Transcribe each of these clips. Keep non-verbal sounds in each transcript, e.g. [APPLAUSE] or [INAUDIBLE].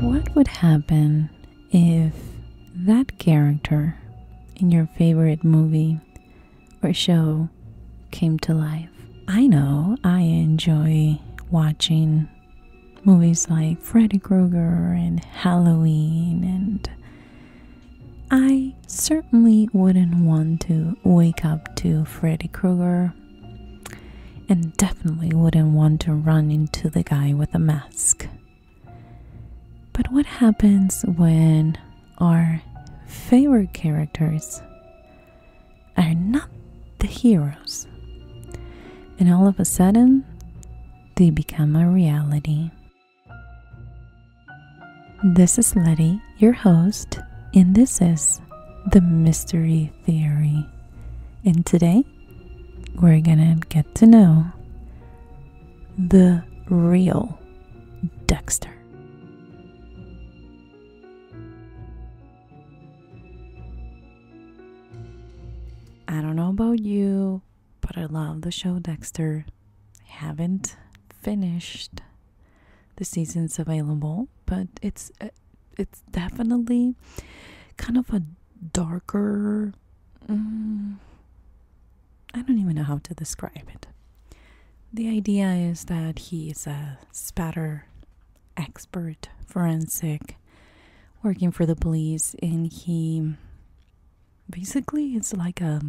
What would happen if that character in your favorite movie or show came to life? I know I enjoy watching movies like Freddy Krueger and Halloween, and I certainly wouldn't want to wake up to Freddy Krueger and definitely wouldn't want to run into the guy with a mask. But what happens when our favorite characters are not the heroes? And all of a sudden, they become a reality. This is Letty, your host, and this is the Mystery theory. And today, we're gonna get to know the real Dexter. I don't know about you, but I love the show Dexter. I haven't finished the seasons available, but it's uh, it's definitely kind of a darker. Mm, I don't even know how to describe it. The idea is that he's a spatter expert, forensic, working for the police, and he basically is like a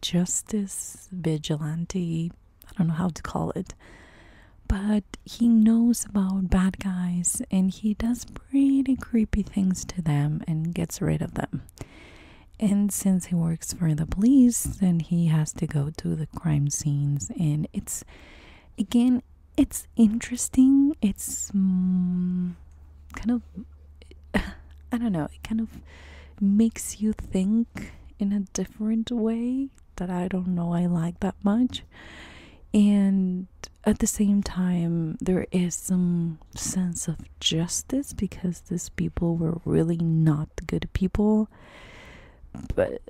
justice vigilante. I don't know how to call it, but he knows about bad guys and he does pretty creepy things to them and gets rid of them. And since he works for the police, then he has to go to the crime scenes and it's again it's interesting. It's mm, kind of [SIGHS] I don't know, it kind of makes you think in a different way that I don't know I like that much. And at the same time, there is some sense of justice because these people were really not good people. But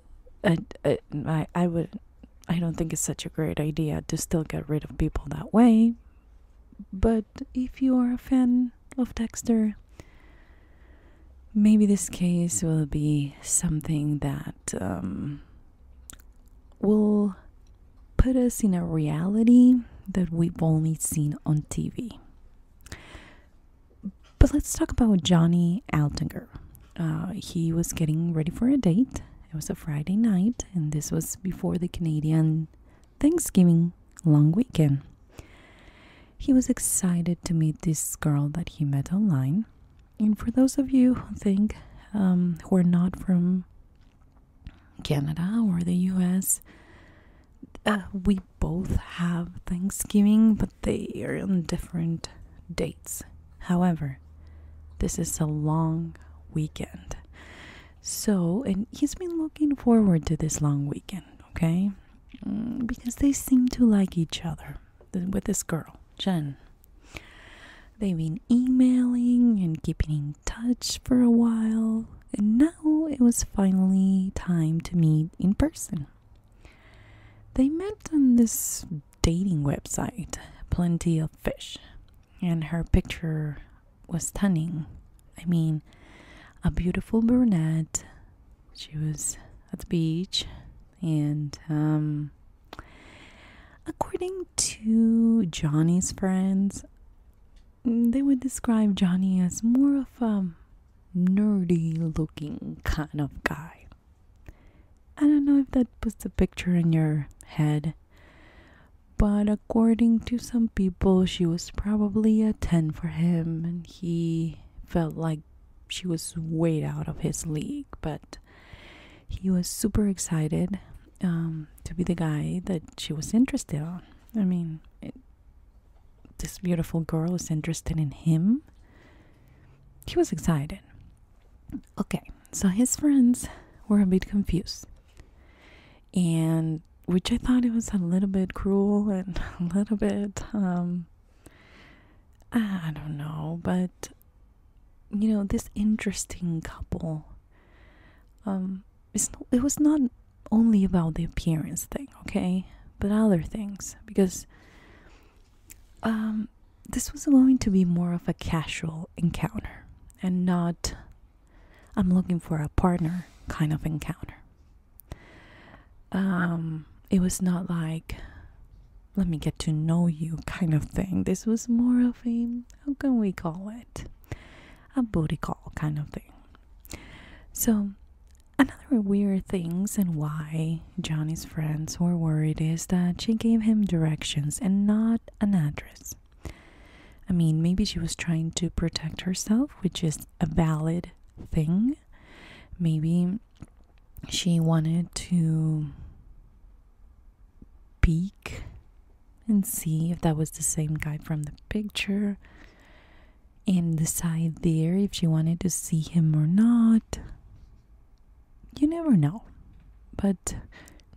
I, I, would, I don't think it's such a great idea to still get rid of people that way. But if you are a fan of Dexter, maybe this case will be something that um, will put us in a reality that we've only seen on TV. But let's talk about Johnny Altinger. Uh, he was getting ready for a date. It was a Friday night, and this was before the Canadian Thanksgiving long weekend. He was excited to meet this girl that he met online and for those of you who think um, who are not from Canada or the US, uh, we both have Thanksgiving, but they are on different dates. However, this is a long weekend. So, and he's been looking forward to this long weekend, okay? Mm, because they seem to like each other with this girl, Jen. They've been emailing and keeping in touch for a while, and now it was finally time to meet in person. They met on this dating website, Plenty of Fish, and her picture was stunning. I mean, a beautiful brunette. She was at the beach and um, According to Johnny's friends, mm, they would describe Johnny as more of a nerdy looking kind of guy. I don't know if that puts a picture in your head, but according to some people, she was probably a 10 for him, and he felt like she was way out of his league, but he was super excited um, to be the guy that she was interested on. I mean, this beautiful girl is interested in him. He was excited. Okay, so his friends were a bit confused, and which I thought it was a little bit cruel and [LAUGHS] a little bit um, I don't know, but you know this interesting couple um, it was not only about the appearance thing okay but other things because um, this was going to be more of a casual encounter and not i'm looking for a partner kind of encounter um, it was not like let me get to know you kind of thing. This was more of a, how can we call it? A booty call kind of thing. So, another weird thing, and why Johnny's friends were worried is that she gave him directions and not an address. I mean, maybe she was trying to protect herself, which is a valid thing. Maybe she wanted to peek and see if that was the same guy from the picture and decide there if she wanted to see him or not. You never know. But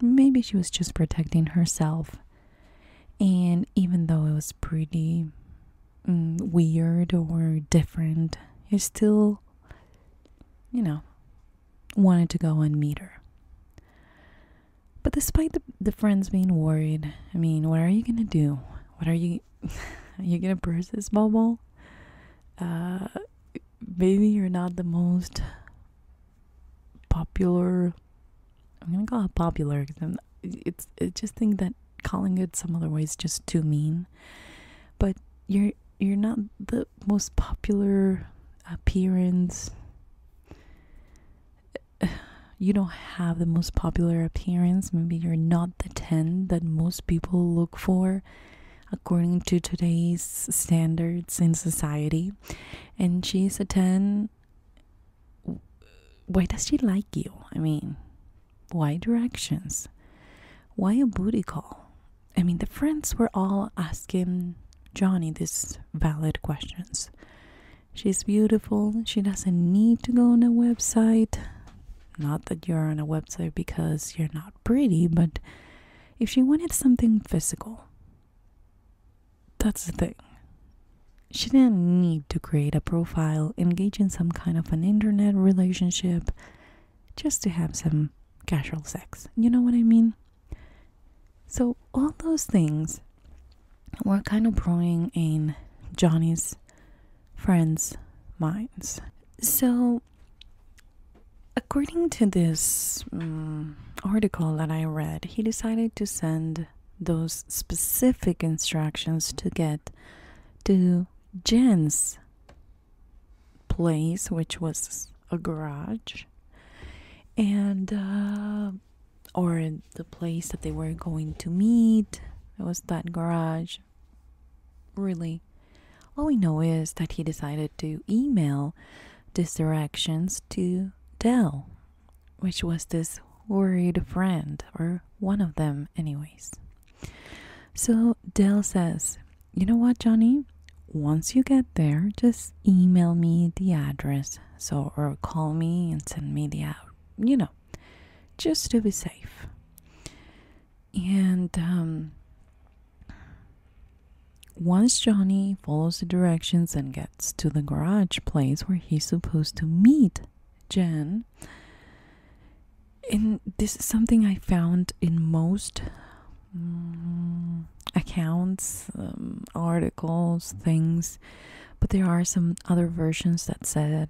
maybe she was just protecting herself. And even though it was pretty mm, weird or different, it still, you know, wanted to go and meet her. But despite the, friends being worried, I mean, what are you going to do? What are you, are [LAUGHS] you going to burst this bubble? Uh, maybe you're not the most popular. I'm going to call it popular because it's, I just think that calling it some other way is just too mean. But you're, you're not the most popular appearance. [SIGHS] You don't have the most popular appearance. Maybe you're not the 10 that most people look for according to today's standards in society. And she's a 10. Why does she like you? I mean, why directions? Why a booty call? I mean, the friends were all asking Johnny these valid questions. She's beautiful. She doesn't need to go on a website. Not that you're on a website because you're not pretty, but if she wanted something physical, that's the thing. She didn't need to create a profile, engage in some kind of an internet relationship just to have some casual sex. You know what I mean? So, all those things were kind of brewing in Johnny's friends' minds. So, according to this mm, article that I read, he decided to send those specific instructions to get to Jen's place, which was a garage, and uh, or the place that they were going to meet. It was that garage. Really, all we know is that he decided to email these directions to Dell, which was this worried friend, or one of them, anyways. So Dell says, you know what, Johnny? Once you get there, just email me the address, so or call me and send me the out, you know, just to be safe. And um, once Johnny follows the directions and gets to the garage place where he's supposed to meet Jen, and this is something I found in most Mm, accounts, um, articles, things, but there are some other versions that said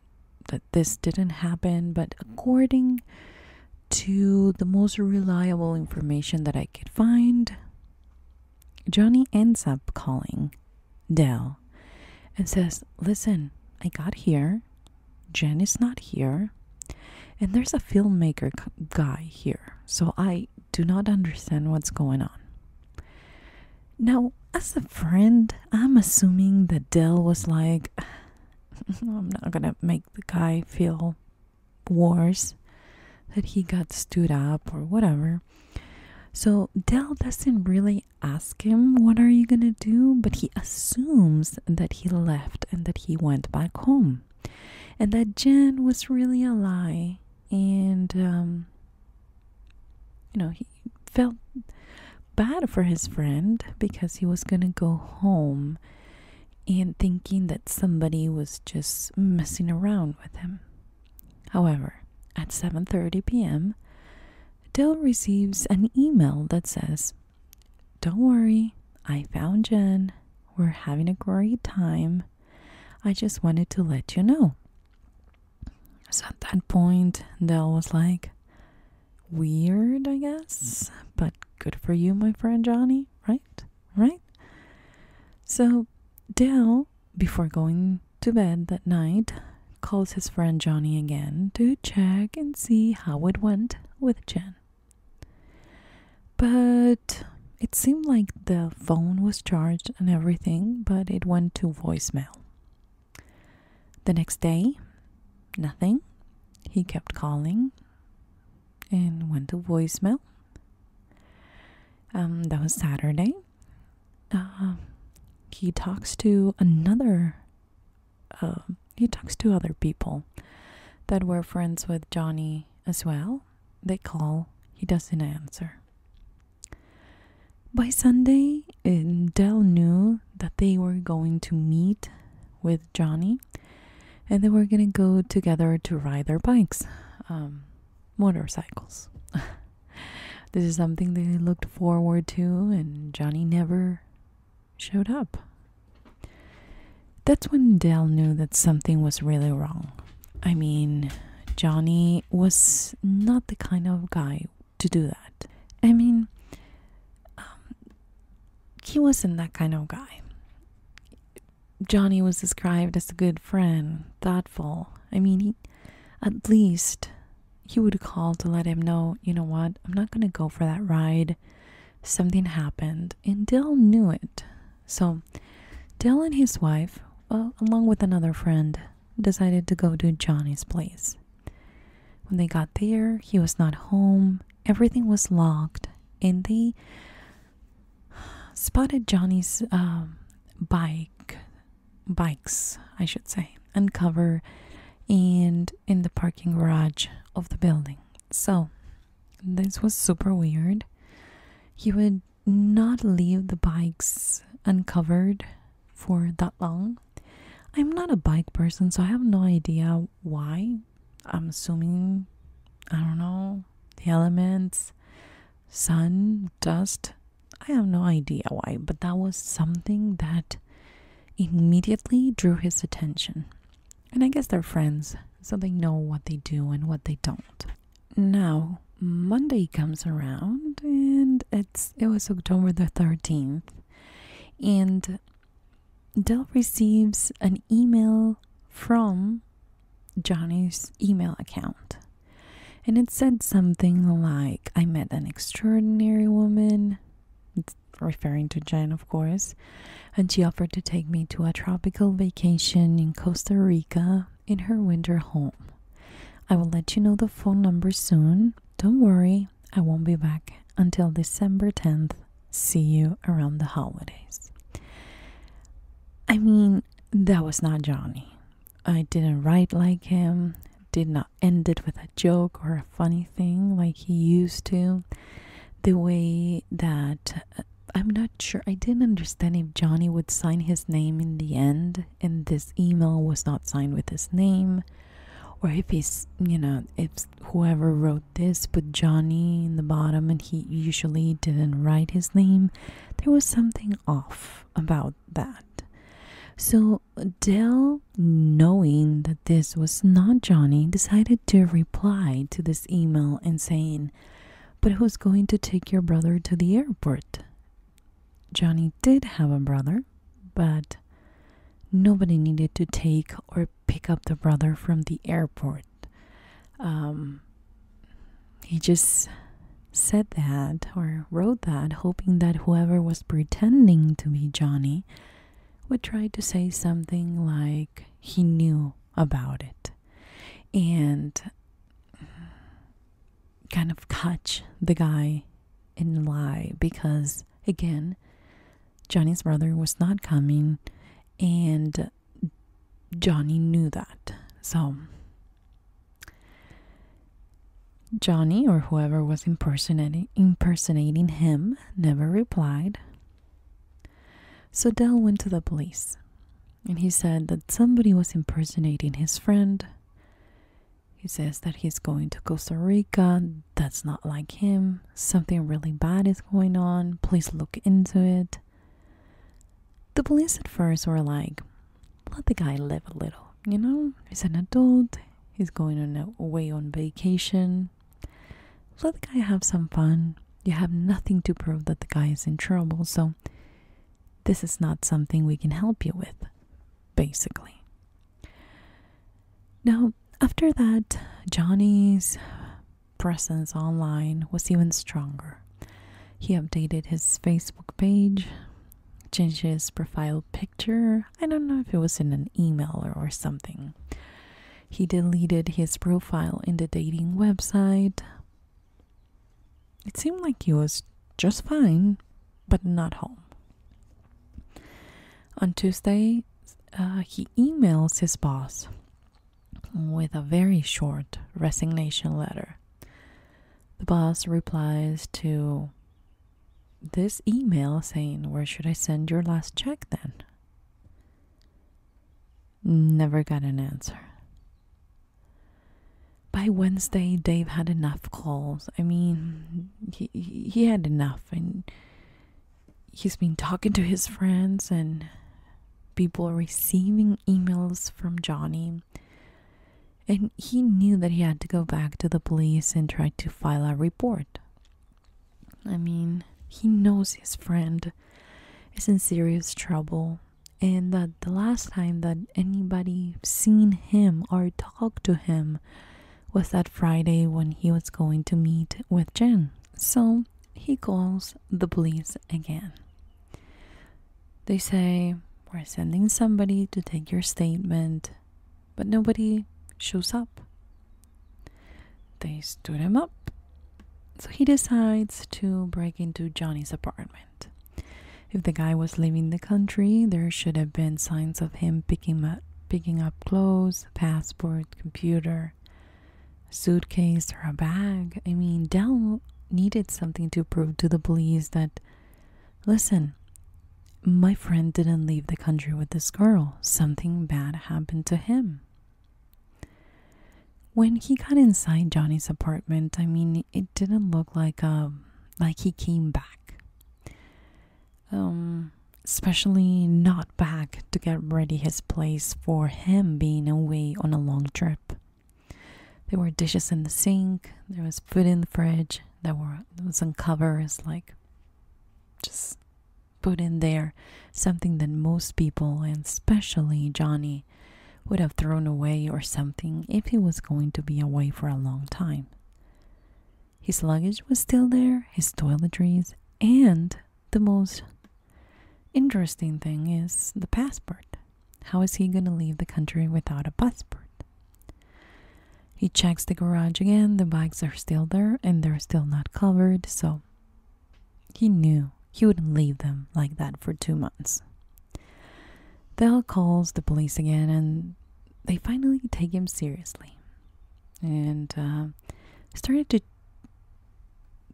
that this didn't happen. But according to the most reliable information that I could find, Johnny ends up calling Dell and says, Listen, I got here. Jen is not here. And there's a filmmaker guy here, so I do not understand what's going on. Now, as a friend, I'm assuming that Dell was like, [SIGHS] I'm not gonna make the guy feel worse that he got stood up or whatever. So Dell doesn't really ask him, What are you gonna do? But he assumes that he left and that he went back home and that Jen was really a lie, and um, you know he felt bad for his friend because he was gonna go home, and thinking that somebody was just messing around with him. However, at 7:30 p.m., Dale receives an email that says, "Don't worry, I found Jen. We're having a great time. I just wanted to let you know. So at that point, Dell was like, weird, I guess, but good for you, my friend Johnny, right? Right? So Dell, before going to bed that night, calls his friend Johnny again to check and see how it went with Jen. But it seemed like the phone was charged and everything, but it went to voicemail. The next day, nothing. He kept calling and went to voicemail. Um, that was Saturday. Uh, he talks to another, uh, he talks to other people that were friends with Johnny as well. They call, he doesn't answer. By Sunday, eh, Dell knew that they were going to meet with Johnny and they were going to go together to ride their bikes, um, motorcycles. [LAUGHS] this is something they looked forward to, and Johnny never showed up. That's when Dale knew that something was really wrong. I mean, Johnny was not the kind of guy to do that. I mean, um, he wasn't that kind of guy. Johnny was described as a good friend, thoughtful. I mean, he, at least he would call to let him know, you know what, I'm not going to go for that ride something happened, and Dell knew it. So, Dell and his wife, uh, along with another friend, decided to go to Johnny's place. When they got there, he was not home, everything was locked, and they spotted Johnny's um, bike, bikes, I should say, uncovered and in the parking garage of the building. So this was super weird. He would not leave the bikes uncovered for that long. I'm not a bike person, so I have no idea why. I'm assuming, I don't know, the elements, sun, dust. I have no idea why, but that was something that immediately drew his attention. And I guess they're friends, so they know what they do and what they don't. Now, Monday comes around and it's it was October the 13th and Dell receives an email from Johnny's email account. And it said something like, I met an extraordinary woman, it's referring to Jen, of course, and she offered to take me to a tropical vacation in Costa Rica in her winter home. I will let you know the phone number soon. Don't worry, I won't be back until December 10th. See you around the holidays. I mean, that was not Johnny. I didn't write like him, did not end it with a joke or a funny thing like he used to. The way that I'm not sure. I didn't understand if Johnny would sign his name in the end, and this email was not signed with his name, or if he's, you know, if whoever wrote this put Johnny in the bottom and he usually didn't write his name. There was something off about that. So Dell, knowing that this was not Johnny, decided to reply to this email and saying, but who's going to take your brother to the airport? Johnny did have a brother, but nobody needed to take or pick up the brother from the airport. Um, he just said that or wrote that, hoping that whoever was pretending to be Johnny would try to say something like, he knew about it and kind of catch the guy in lie because again Johnny's brother was not coming and Johnny knew that. So Johnny or whoever was impersonating impersonating him never replied. So Dell went to the police and he said that somebody was impersonating his friend. He says that he's going to Costa Rica. That's not like him. Something really bad is going on. Please look into it. The police at first were like, let the guy live a little. You know, he's an adult. He's going on a, away on vacation. Let the guy have some fun. You have nothing to prove that the guy is in trouble, so this is not something we can help you with, basically. Now, after that, Johnny's presence online was even stronger. He updated his Facebook page, changed his profile picture. I don't know if it was in an email or, something. He deleted his profile in the dating website, it seemed like he was just fine, but not home. On Tuesday, uh, he emails his boss with a very short resignation letter. The boss replies to this email saying, Where should I send your last check then? Never got an answer. By Wednesday, Dave had enough calls. I mean, he, he had enough, and he's been talking to his friends and people receiving emails from Johnny. And he knew that he had to go back to the police and try to file a report. I mean, he knows his friend is in serious trouble and that the last time that anybody seen him or talked to him was that Friday when he was going to meet with Jen. So he calls the police again. They say, We're sending somebody to take your statement, but nobody shows up. They stood him up so he decides to break into Johnny's apartment. If the guy was leaving the country, there should have been signs of him picking up, picking up clothes, passport, computer, suitcase, or a bag. I mean, Dell needed something to prove to the police that, listen, my friend didn't leave the country with this girl. Something bad happened to him. When he got inside Johnny's apartment, I mean, it didn't look like um like he came back. Um, especially not back to get ready his place for him being away on a long trip. There were dishes in the sink. There was food in the fridge. There were some covers like just put in there something that most people and especially Johnny would have thrown away or something if he was going to be away for a long time. His luggage was still there, his toiletries, and the most interesting thing is the passport. How is he going to leave the country without a passport? He checks the garage again, the bikes are still there and they're still not covered, so he knew he wouldn't leave them like that for two months. They'll calls the police again and they finally take him seriously and uh, started to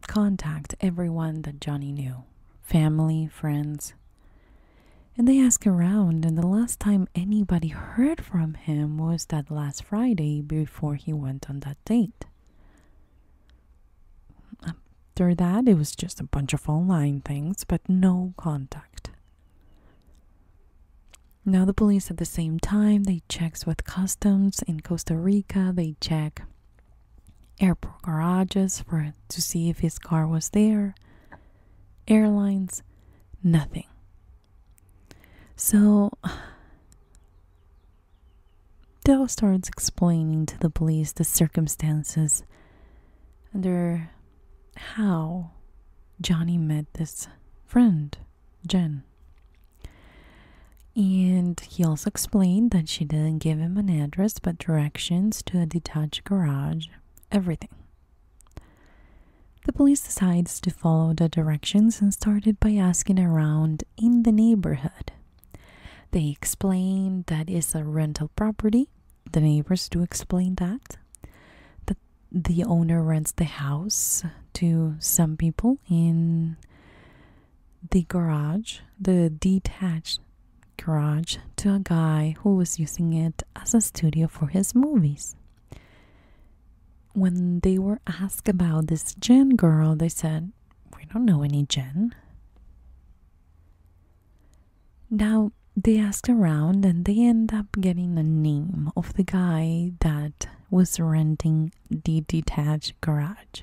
contact everyone that Johnny knew family, friends. And they ask around, and the last time anybody heard from him was that last Friday before he went on that date. After that, it was just a bunch of online things, but no contact. Now, the police at the same time, they checks with customs in Costa Rica, they check airport garages for to see if his car was there, airlines, nothing. So Dell starts explaining to the police the circumstances under how Johnny met this friend, Jen. And he also explained that she didn't give him an address but directions to a detached garage, everything. The police decides to follow the directions and started by asking around in the neighborhood. They explained that it's a rental property. The neighbors do explain that. That the owner rents the house to some people in the garage, the detached garage, to a guy who was using it as a studio for his movies. When they were asked about this Jen girl, they said, We don't know any Jen. Now they asked around and they end up getting a name of the guy that was renting the detached garage.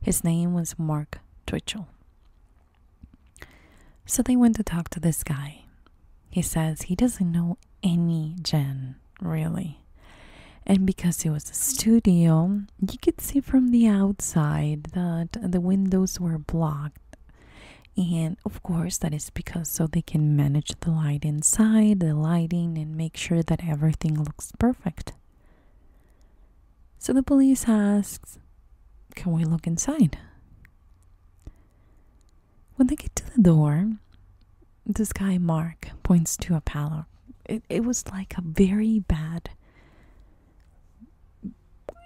His name was Mark Twichell. So they went to talk to this guy. He says he doesn't know any Jen, really. And because it was a studio, you could see from the outside that the windows were blocked. And of course, that is because so they can manage the light inside, the lighting, and make sure that everything looks perfect. So the police asks, Can we look inside? When they get to the door, this guy Mark points to a pallet. It, it was like a very bad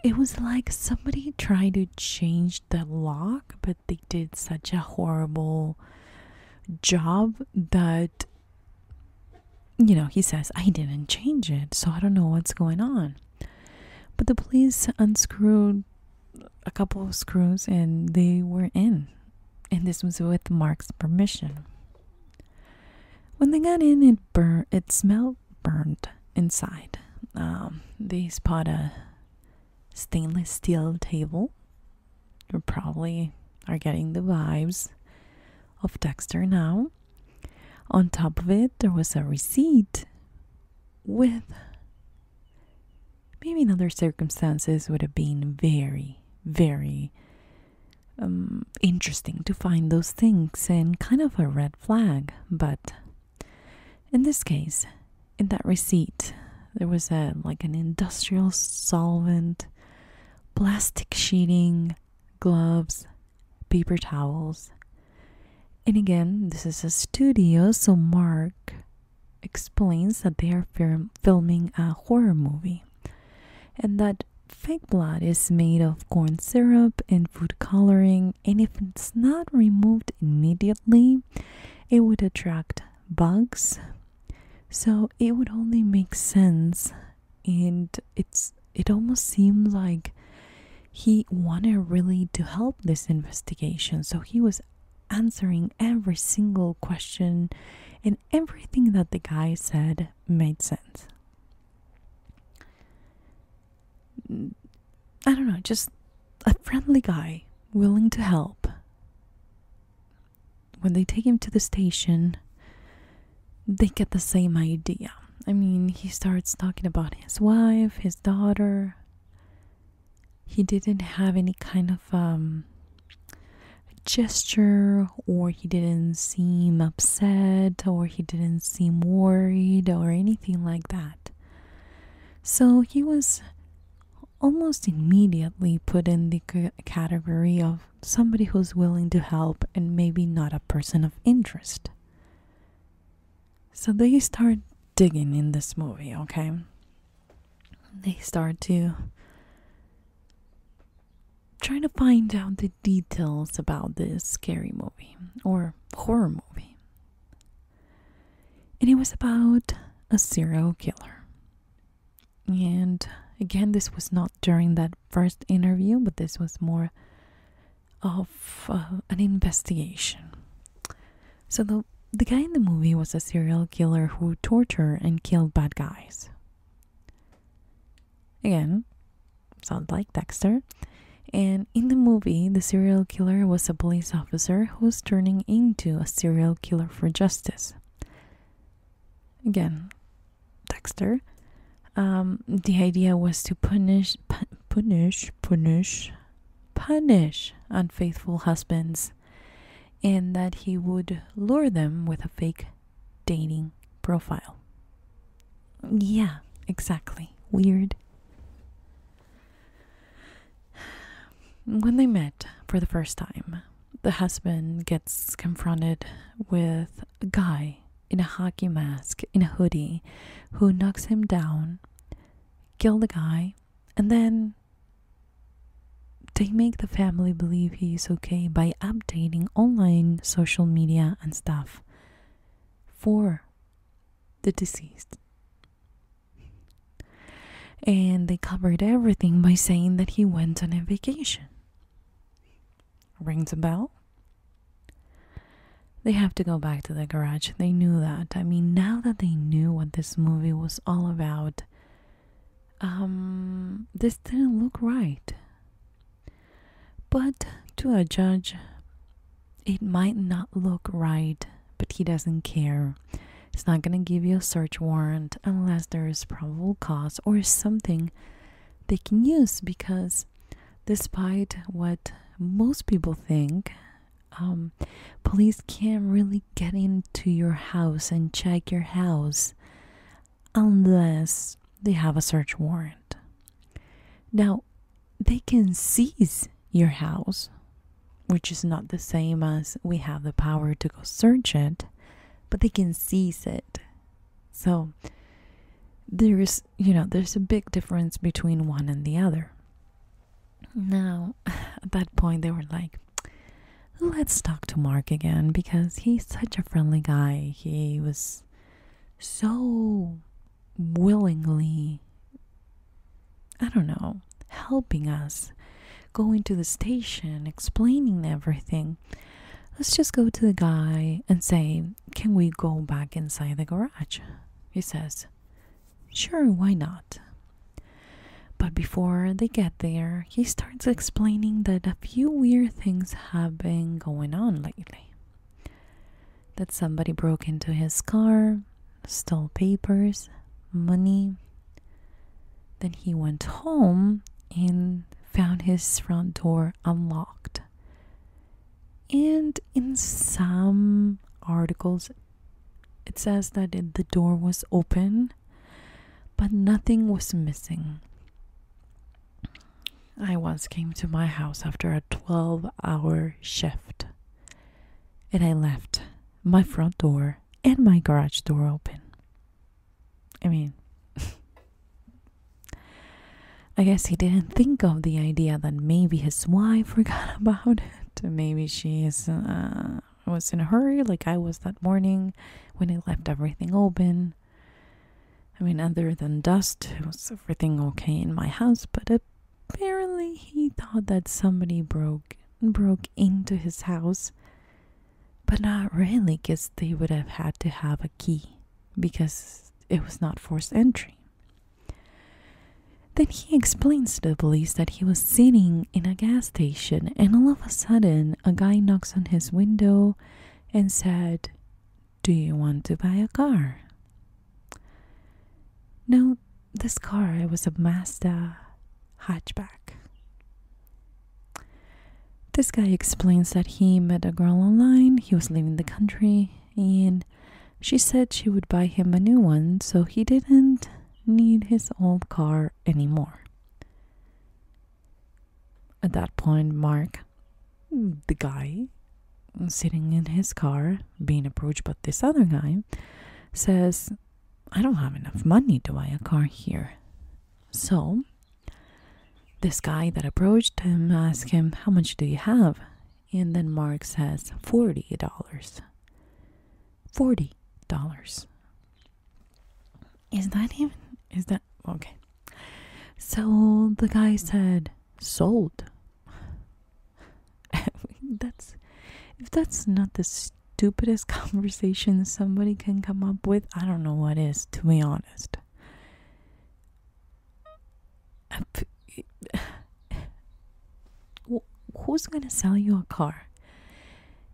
it was like somebody tried to change the lock, but they did such a horrible job that, you know, he says, I didn't change it, so I don't know what's going on. But the police unscrewed a couple of screws and they were in. And this was with Mark's permission. When they got in, it bur- it smelled burned inside. Um, they spot a stainless steel table. You probably are getting the vibes of Dexter now. On top of it, there was a receipt with maybe in other circumstances would have been very, very um, interesting to find those things and kind of a red flag. But in this case, in that receipt, there was a like an industrial solvent, plastic sheeting, gloves, paper towels. And again, this is a studio, so Mark explains that they are filming a horror movie and that fake blood is made of corn syrup and food coloring, and if it's not removed immediately, it would attract bugs. So it would only make sense, and it's it almost seemed like he wanted really to help this investigation, so he was answering every single question and everything that the guy said made sense. I don't know, just a friendly guy willing to help. When they take him to the station, they get the same idea. I mean, he starts talking about his wife, his daughter. He didn't have any kind of um, gesture or he didn't seem upset, or he didn't seem worried, or anything like that. So he was almost immediately put in the category of somebody who's willing to help and maybe not a person of interest. So they start digging in this movie, okay? They start to trying to find out the details about this scary movie or horror movie. And it was about a serial killer. And again, this was not during that first interview, but this was more of uh, an investigation. So the the guy in the movie was a serial killer who tortured and killed bad guys. Again, sounds like Dexter. And in the movie, the serial killer was a police officer who was turning into a serial killer for justice. Again, Dexter. Um, the idea was to punish, punish, punish, punish unfaithful husbands, and that he would lure them with a fake dating profile. Yeah, exactly. Weird. When they met for the first time, the husband gets confronted with a guy in a hockey mask, in a hoodie, who knocks him down, kill the guy, and then they make the family believe he is okay by updating online social media and stuff for the deceased. And they covered everything by saying that he went on a vacation. Rings a bell? They have to go back to the garage. They knew that. I mean, now that they knew what this movie was all about, um, this didn't look right. But to a judge, it might not look right, but he doesn't care. He's not going to give you a search warrant unless there is probable cause or something they can use because, despite what most people think, um, police can't really get into your house and check your house unless they have a search warrant. Now, they can seize your house, which is not the same as we have the power to go search it, but they can seize it. So, there's, you know, there's a big difference between one and the other. Now, [LAUGHS] at that point, they were like, let's talk to Mark again because he's such a friendly guy. He was so willingly, I don't know, helping us going to the station, explaining everything. Let's just go to the guy and say, Can we go back inside the garage? He says, Sure, why not? But before they get there, he starts explaining that a few weird things have been going on lately that somebody broke into his car, stole papers, money. Then he went home and found his front door unlocked. And in some articles, it says that the door was open, but nothing was missing. I once came to my house after a 12 hour shift and I left my front door and my garage door open. I mean, [LAUGHS] I guess he didn't think of the idea that maybe his wife [LAUGHS] forgot about it. Maybe she uh, was in a hurry, like I was that morning when I left everything open. I mean, other than dust, was everything okay in my house? But apparently, he thought that somebody broke broke into his house, but not really, because they would have had to have a key because it was not forced entry. Then he explains to the police that he was sitting in a gas station and all of a sudden a guy knocks on his window and said, do you want to buy a car? No, this car it was a Mazda hatchback. This guy explains that he met a girl online, he was leaving the country, and she said she would buy him a new one so he didn't need his old car anymore. At that point, Mark the guy sitting in his car being approached by this other guy says, I don't have enough money to buy a car here. So, this guy that approached him asked him, How much do you have? And then Mark says, $40. $40. Is that even? Is that okay? So the guy said, sold. [LAUGHS] that's if that's not the stupidest [LAUGHS] conversation somebody can come up with, I don't know what is, to be honest. [SIGHS] Who's gonna sell you a car?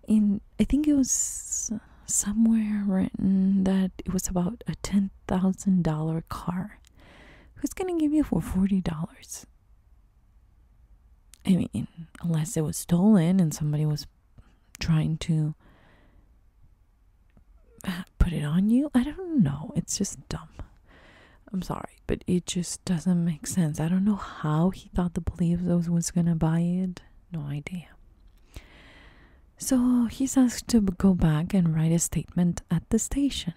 In I think it was somewhere written that it was about a ten thousand dollar car. Who's gonna give you for forty dollars? I mean, unless it was stolen and somebody was trying to put it on you. I don't know. It's just dumb. I'm sorry, but it just doesn't make sense. I don't know how he thought the Palazzos was gonna buy it. No idea. So he's asked to go back and write a statement at the station.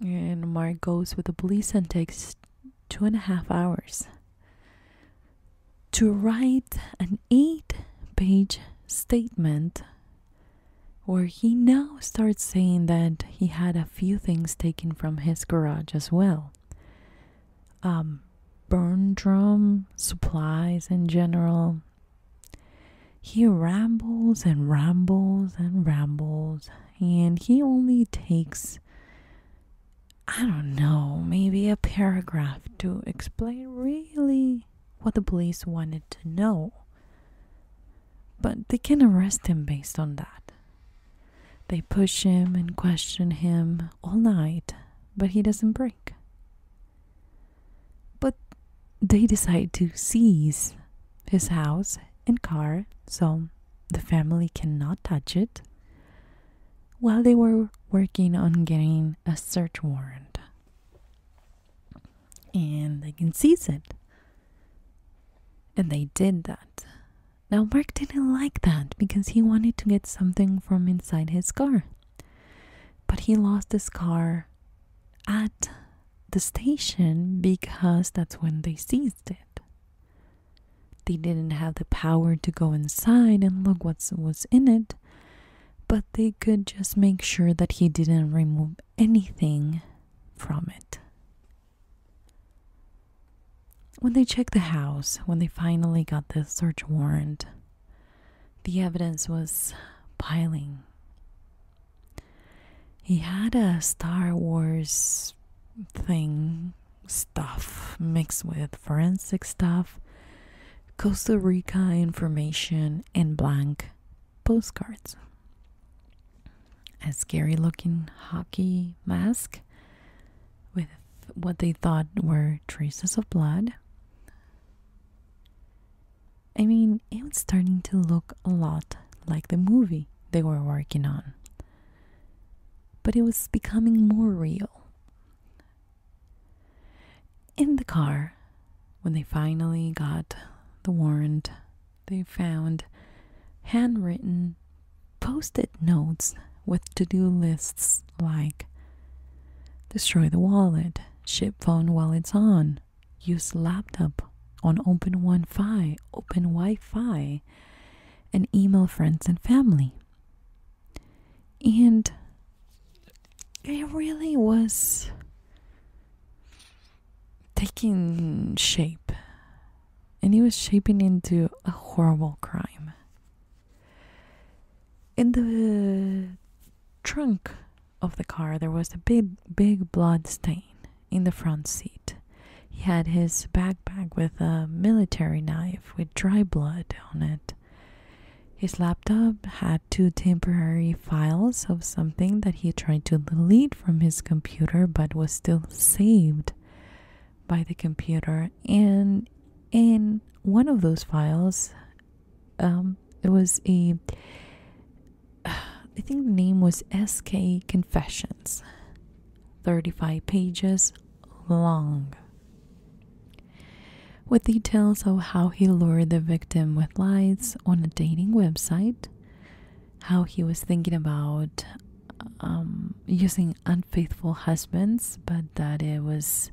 And Mark goes with the police and takes two and a half hours to write an eight page statement where he now starts saying that he had a few things taken from his garage as well. Um, burn drum supplies in general, he rambles and rambles and rambles, and he only takes, I don't know, maybe a paragraph to explain really what the police wanted to know. But they can arrest him based on that. They push him and question him all night, but he doesn't break. But they decide to seize his house and car, so the family cannot touch it, while they were working on getting a search warrant. And they can seize it. And they did that. Now, Mark didn't like that because he wanted to get something from inside his car. But he lost his car at the station because that's when they seized it. They didn't have the power to go inside and look what was in it, but they could just make sure that he didn't remove anything from it. When they checked the house, when they finally got the search warrant, the evidence was piling he had a Star Wars thing, stuff mixed with forensic stuff, Costa Rica information, and blank postcards. A scary looking hockey mask with what they thought were traces of blood. I mean, it was starting to look a lot like the movie they were working on. But it was becoming more real. In the car, when they finally got the warrant, they found handwritten post it notes with to do lists like destroy the wallet, ship phone while it's on, use laptop on open Wi-Fi, open Wi-Fi, and email friends and family. And it really was taking shape. And it was shaping into a horrible crime. In the trunk of the car there was a big big blood stain in the front seat. He had his backpack with a military knife with dry blood on it. His laptop had two temporary files of something that he tried to delete from his computer but was still saved by the computer and in one of those files um it was a I think the name was SK Confessions. 35 pages long. With details of how he lured the victim with lies on a dating website, how he was thinking about um, using unfaithful husbands, but that it was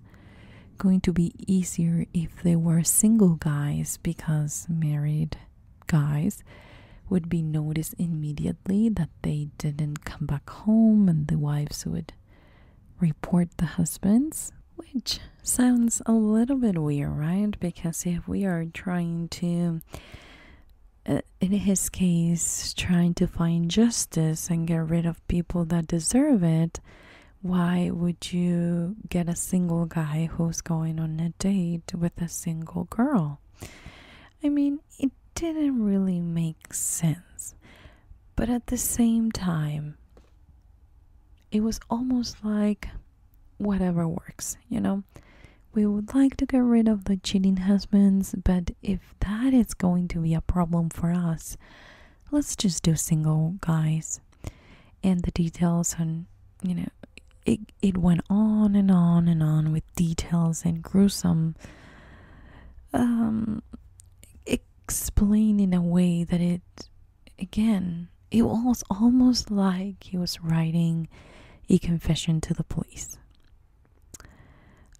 going to be easier if they were single guys because married guys would be noticed immediately that they didn't come back home and the wives would report the husbands which sounds a little bit weird right because if we are trying to uh, in his case trying to find justice and get rid of people that deserve it why would you get a single guy who's going on a date with a single girl. I mean, it didn't really make sense. But at the same time, it was almost like whatever works, you know? We would like to get rid of the cheating husbands, but if that is going to be a problem for us, let's just do single guys and the details and you know it it went on and on and on with details and gruesome um explained in a way that it again it was almost like he was writing a confession to the police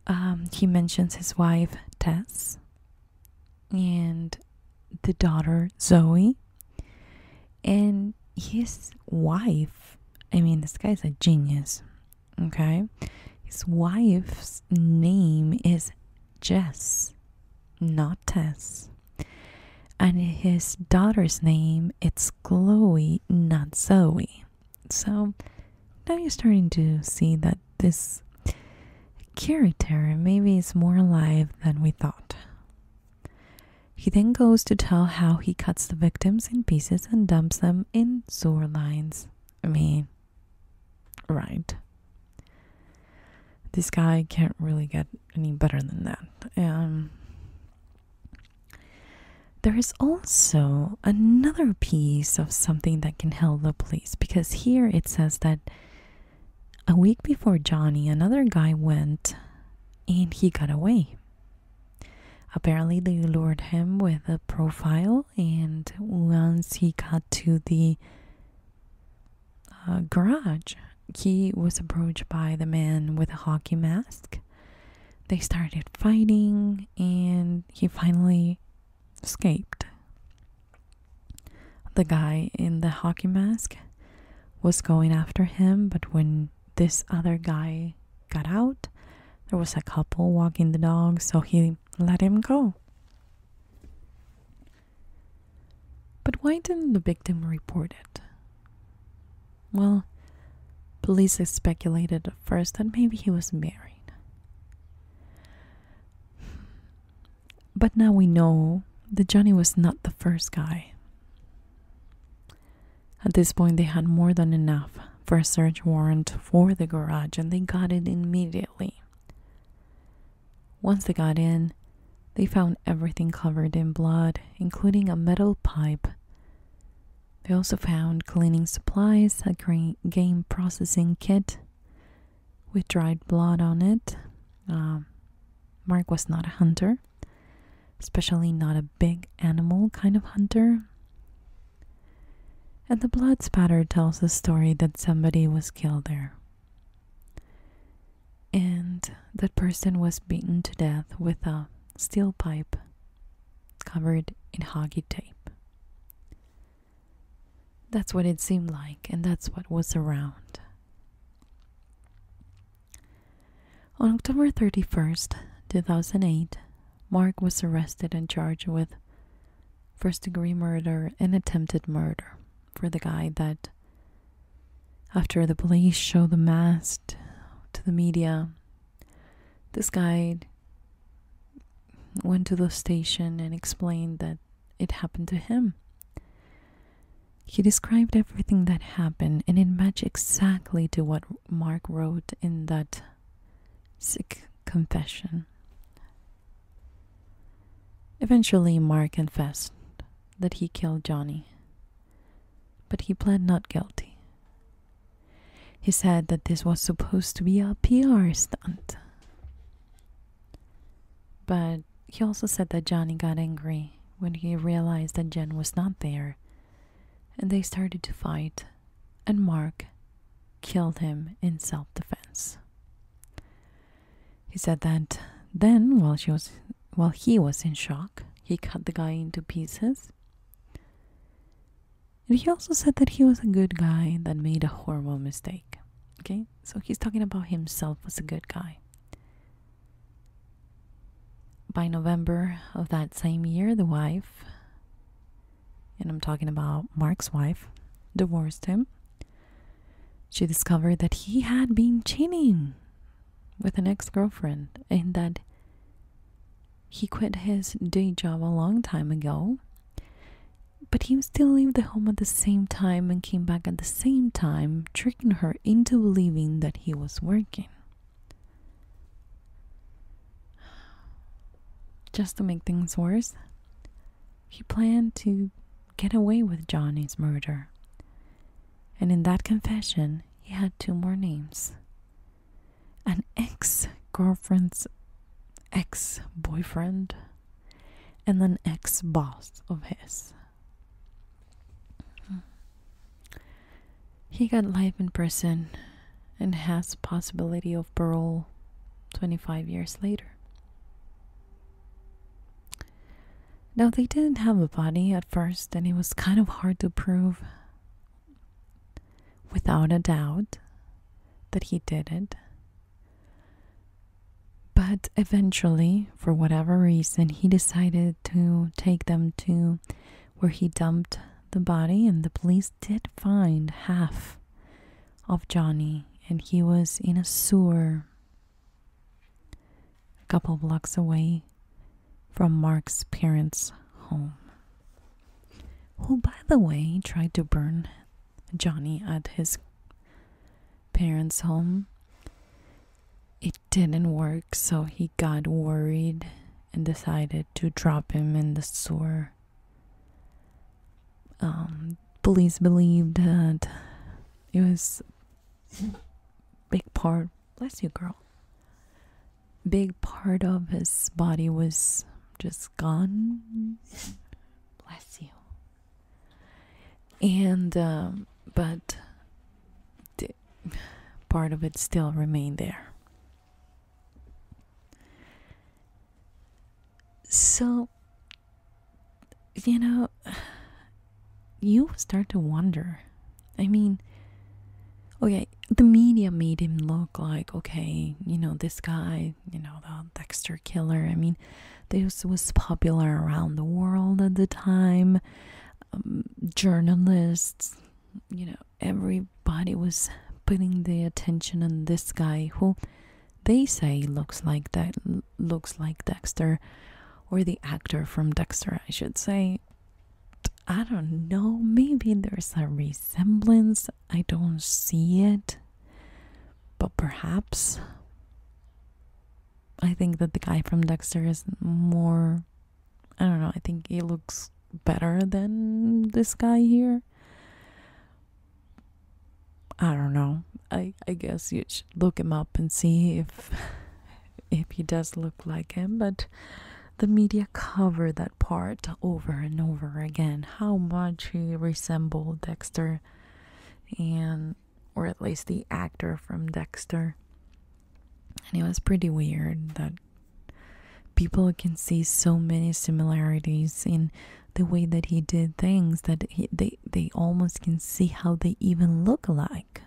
um, he mentions his wife tess and the daughter zoe and his wife, I mean, this guy's a genius, okay? His wife's name is Jess, not Tess. And his daughter's name, it's Chloe, not Zoe. So now you're starting to see that this character maybe is more alive than we thought. He then goes to tell how he cuts the victims in pieces and dumps them in sewer lines. I mean, right. This guy can't really get any better than that. Um, there is also another piece of something that can help the police because here it says that a week before Johnny, another guy went and he got away. Apparently, they lured him with a profile, and once he got to the uh, garage, he was approached by the man with the hockey mask. They started fighting, and he finally escaped. The guy in the hockey mask was going after him, but when this other guy got out, there was a couple walking the dog, so he let him go. But why didn't the victim report it? Well, police speculated at first that maybe he was married. But now we know that Johnny was not the first guy at this point, they had more than enough for a search warrant for the garage and they got it immediately. Once they got in, they found everything covered in blood, including a metal pipe. They also found cleaning supplies, a game processing kit with dried blood on it. Uh, Mark was not a hunter, especially not a big animal kind of hunter. And the blood spatter tells the story that somebody was killed there. And that person was beaten to death with a steel pipe covered in hoggy tape. That's what it seemed like, and that's what was around. On October 31st, 2008, Mark was arrested and charged with first degree murder and attempted murder for the guy that, after the police showed the mask to the media, this guy went to the station and explained that it happened to him. He described everything that happened, and it matched exactly to what Mark wrote in that sick confession. Eventually, Mark confessed that he killed Johnny, but he pled not guilty. He said that this was supposed to be a PR stunt. But he also said that Johnny got angry when he realized that Jen was not there, and they started to fight, and Mark killed him in self defense. He said that then while she was while he was in shock, he cut the guy into pieces. And he also said that he was a good guy that made a horrible mistake. Okay? So he's talking about himself as a good guy. By November of that same year, the wife, and I'm talking about Mark's wife, divorced him. She discovered that he had been cheating with an ex girlfriend and that he quit his day job a long time ago. But he still left the home at the same time and came back at the same time, tricking her into believing that he was working. Just to make things worse, he planned to get away with Johnny's murder. And in that confession, he had two more names an ex girlfriend's ex boyfriend and an ex boss of his. Hmm. He got life in prison and has possibility of parole 25 years later. Now they didn't have a body at first and it was kind of hard to prove without a doubt that he did it. But eventually, for whatever reason, he decided to take them to where he dumped the body, and the police did find half of Johnny, and he was in a sewer a couple blocks away from Mark's parents' home. Who, by the way, tried to burn Johnny at his parents' home it didn't work, so he got worried and decided to drop him in the sewer. Um, police believed that it was big part bless you girl big part of his body was just gone bless you and um, but part of it still remained there. So, you know, [SIGHS] you start to wonder. I mean, okay, the media made him look like, okay, you know, this guy, you know, the Dexter killer. I mean, this was popular around the world at the time. Um, journalists, you know, everybody was putting their attention on this guy who they say looks like that looks like Dexter or the actor from Dexter, I should say. I don't know, maybe there's a resemblance. I don't see it. But perhaps I think that the guy from Dexter is more I don't know, I think he looks better than this guy here. I don't know. I I guess you should look him up and see if [LAUGHS] if he does look like him, but the media covered that part over and over again how much he resembled Dexter and or at least the actor from Dexter and it was pretty weird that people can see so many similarities in the way that he did things that they they almost can see how they even look alike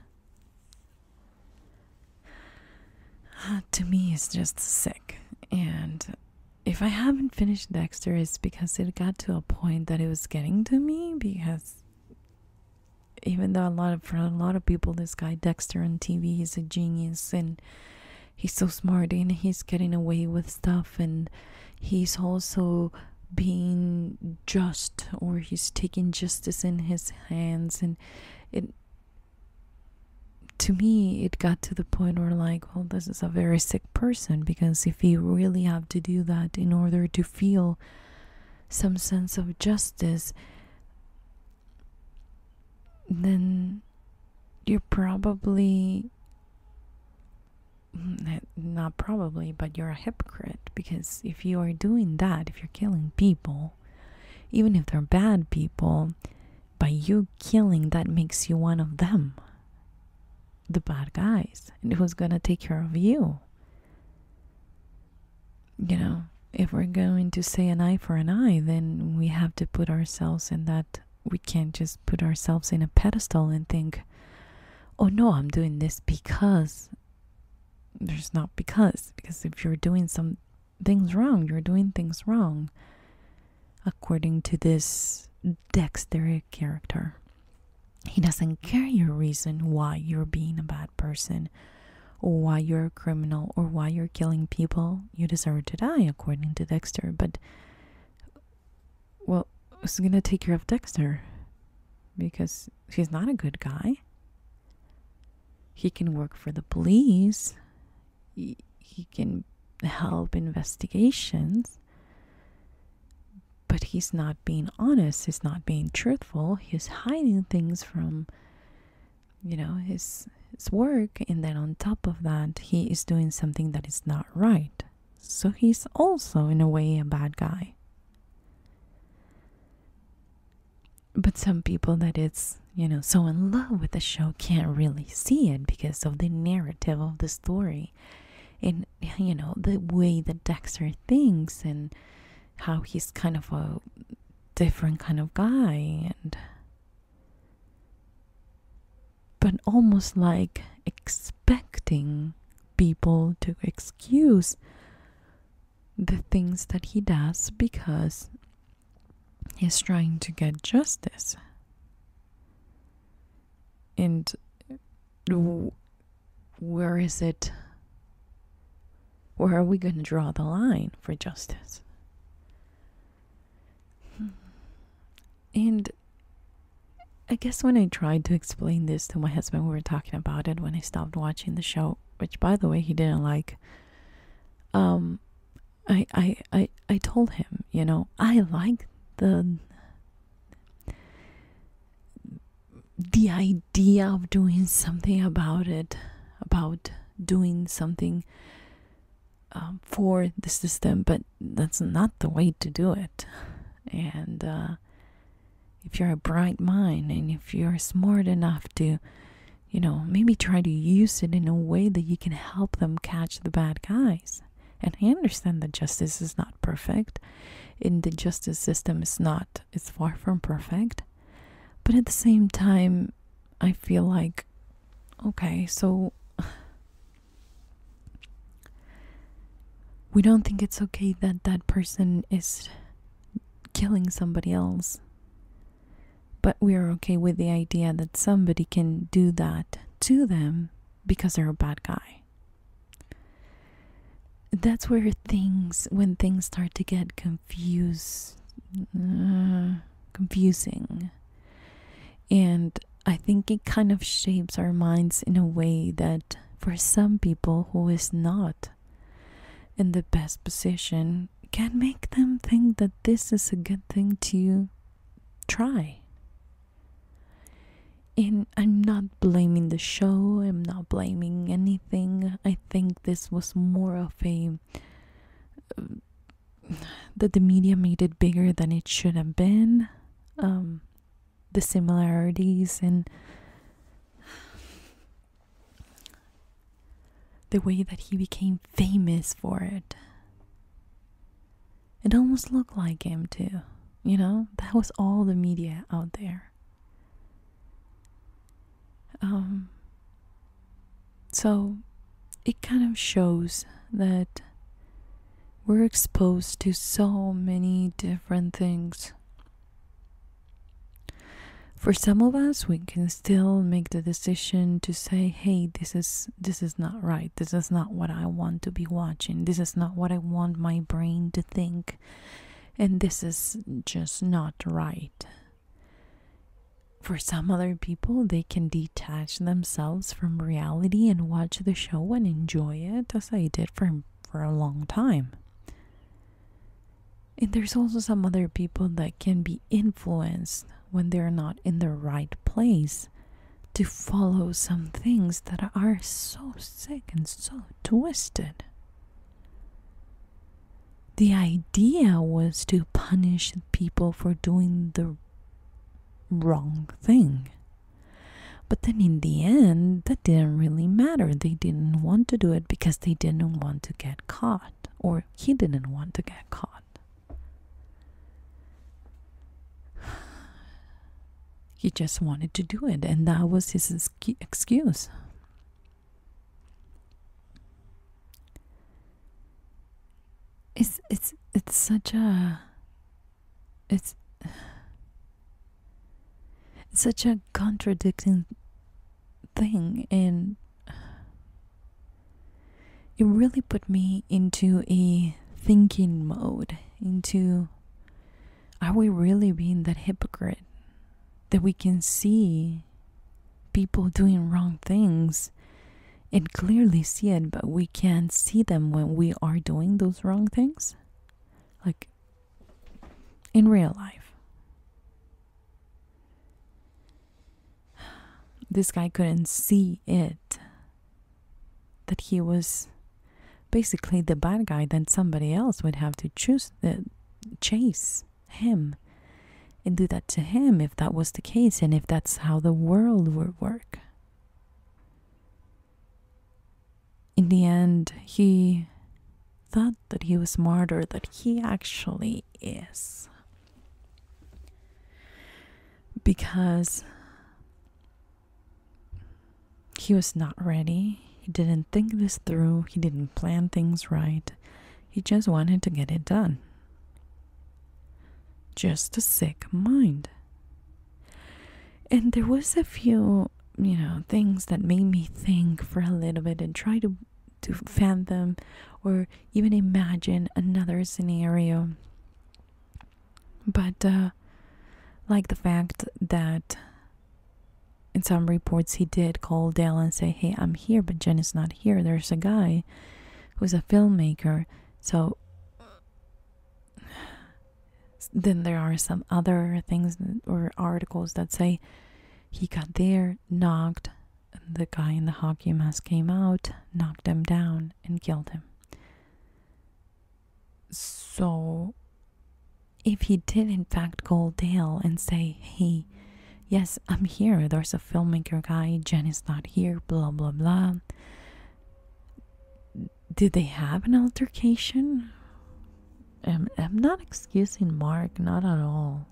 ah, to me it's just sick and if i haven't finished dexter it's because it got to a point that it was getting to me because even though a lot of for a lot of people this guy Dexter on TV he's a genius and he's so smart and he's getting away with stuff and he's also being just or he's taking justice in his hands and it to me it got to the point where like well this is a very sick person because if you really have to do that in order to feel some sense of justice then you're probably mm, eh, not probably, but you're a hypocrite because if you are doing that, if you're killing people, even if they're bad people, by you killing, that makes you one of them, the bad guys, and who's gonna take care of you? you know, if we're going to say an eye for an eye, then we have to put ourselves in that. We can't just put ourselves in a pedestal and think, oh no, I'm doing this because there's not because. Because if you're doing some things wrong, you're doing things wrong according to this dexterous character. He doesn't care your reason why you're being a bad person why you're a criminal or why you're killing people. You deserve to die, according to Dexter. But, well, who's gonna take care of Dexter? Because he's not a good guy. He can work for the police, he, he can help investigations. But he's not being honest, he's not being truthful, he's hiding things from you know his his work and then on top of that he is doing something that is not right so he's also in a way a bad guy but some people that it's you know so in love with the show can't really see it because of the narrative of the story and you know the way that dexter thinks and how he's kind of a different kind of guy and but almost like expecting people to excuse the things that he does because he's trying to get justice and where is it where are we going to draw the line for justice? Hmm. And I guess when I tried to explain this to my husband, we were talking about it when I stopped watching the show, which by the way he didn't like. Um, I I I I told him, you know, I like the the idea idea of doing something about it, about doing something um, for the system, but that's not the way to do it. And uh, if you're a bright mind and if you're smart enough to, you know, maybe try to use it in a way that you can help them catch the bad guys. And I understand that justice is not perfect, and the justice system is not, it's far from perfect. But at the same time, I feel like, okay, so we don't think it's okay that that person is killing somebody else. But we are okay with the idea that somebody can do that to them because they're a bad guy. That's where things, when things start to get confused uh, confusing. And I think it kind of shapes our minds in a way that for some people who is not in the best position can make them think that this is a good thing to try. And I'm not blaming the show, I'm not blaming anything. I think this was more of a that the media made it bigger than it should have been. Um, the similarities and the way that he became famous for it. It almost looked like him, too. You know, that was all the media out there. Um, so it kind of shows that we're exposed to so many different things. For some of us, we can still make the decision to say, "Hey, this is this is not right. This is not what I want to be watching. This is not what I want my brain to think." And this is just not right. For some other people, they can detach themselves from reality and watch the show and enjoy it as I did for for a long time. And there's also some other people that can be influenced when they're not in the right place to follow some things that are so sick and so twisted. The idea was to punish people for doing the wrong thing. But then in the end, that didn't really matter. They didn't want to do it because they didn't want to get caught, or he didn't want to get caught. [SIGHS] He just wanted to do it, and that was his excuse. It's it's it's such a it's it's such a contradicting thing and it really put me into a thinking mode into are we really being that hypocrite that we can see people doing wrong things and clearly see it, but we can't see them when we are doing those wrong things. Like in real life. This guy couldn't see it. That he was basically the bad guy Then somebody else would have to choose the uh, chase him and do that to him if that was the case and if that's how the world would work. In the end, he thought that he was smarter than he actually is. Because he was not ready, he didn't think this through, he didn't plan things right, he just wanted to get it done. Just a sick mind. And there was a few, you know, things that made me think for a little bit and try to to fathom or even imagine another scenario. But uh like the fact that in some reports he did call Dale and say, Hey, I'm here, but Jen is not here. There's a guy who's a filmmaker. So then there are some other things or articles that say he got there, knocked, the guy in the hockey mask came out, knocked him down, and killed him. So, if he did in fact call Dale and say, he yes, I'm here. There's a filmmaker guy. Jen is not here. Blah, blah, blah. Did they have an altercation? I'm, I'm not excusing Mark, not at all.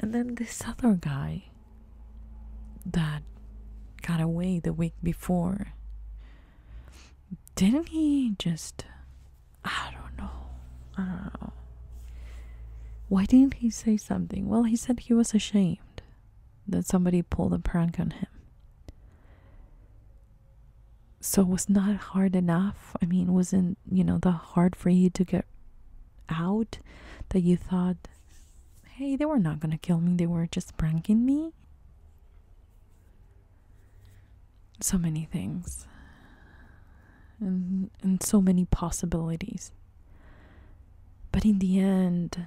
And then this other guy that got away the week before. Didn't he just. I don't know. Why didn't he say something? Well, he said he was ashamed that somebody pulled a prank on him. So it was not hard enough. I mean, wasn't, you know, the hard for you to get out that you thought, hey, they were not going to kill me. They were just pranking me. So many things and and so many possibilities. But in the end,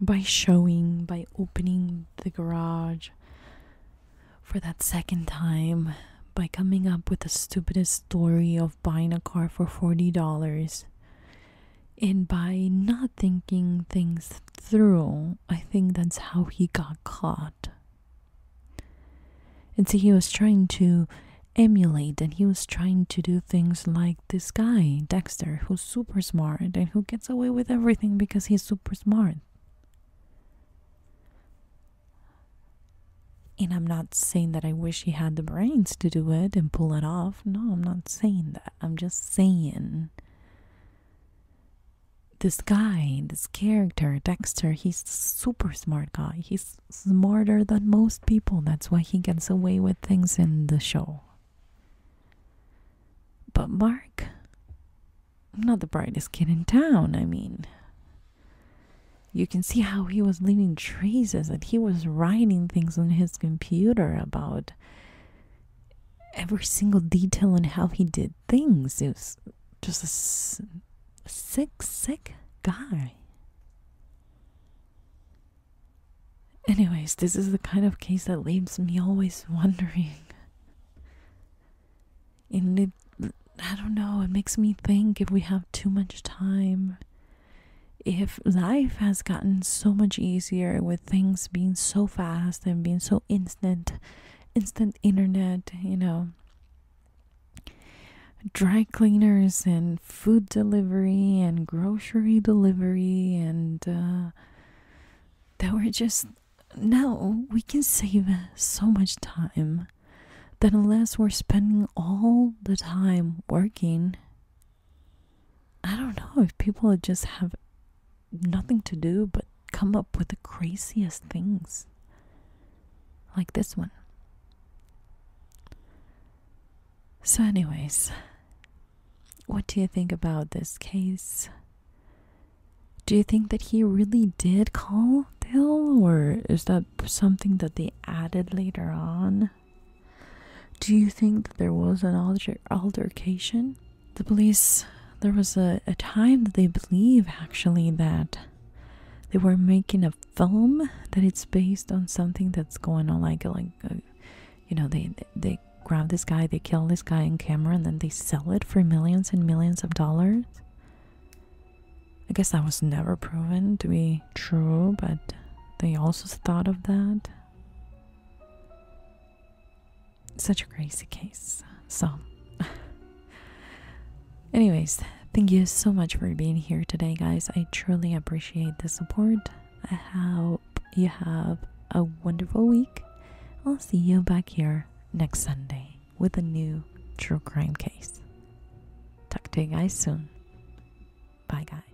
by showing, by opening the garage for that second time, by coming up with the stupidest story of buying a car for $40, and by not thinking things through, I think that's how he got caught. And so he was trying to emulate and he was trying to do things like this guy, Dexter, who's super smart and who gets away with everything because he's super smart. And I'm not saying that I wish he had the brains to do it and pull it off. No, I'm not saying that. I'm just saying this guy, this character, Dexter, he's a super smart guy. He's smarter than most people. That's why he gets away with things in the show. But Mark, not the brightest kid in town, I mean. You can see how he was leaving traces and he was writing things on his computer about every single detail and how he did things. It just a sick, sick guy. Anyways, this is the kind of case that leaves me always wondering. And I don't know, it makes me think if we have too much time, if life has gotten so much easier with things being so fast and being so instant, instant internet, you know, dry cleaners and food delivery and grocery delivery and uh, that they were just now we can save so much time that unless we're spending all the time working i don't know if people just have nothing to do but come up with the craziest things like this one. So, anyways, what do you think about this case? Do you think that he really did call Dill, or is that something that they added later on? Do you think that there was an altercation? The police, there was a time that they believe actually that they were making a film that it's based on something that's going on like like uh, you know they they grab this guy they kill this guy in camera and then they sell it for millions and millions of dollars i guess that was never proven to be true but they also thought of that such a crazy case so [LAUGHS] Anyways, thank you so much for being here today, guys. I truly appreciate the support. I hope you have a wonderful week. I'll see you back here next Sunday with a new true crime case. Talk to you guys soon. Bye, guys.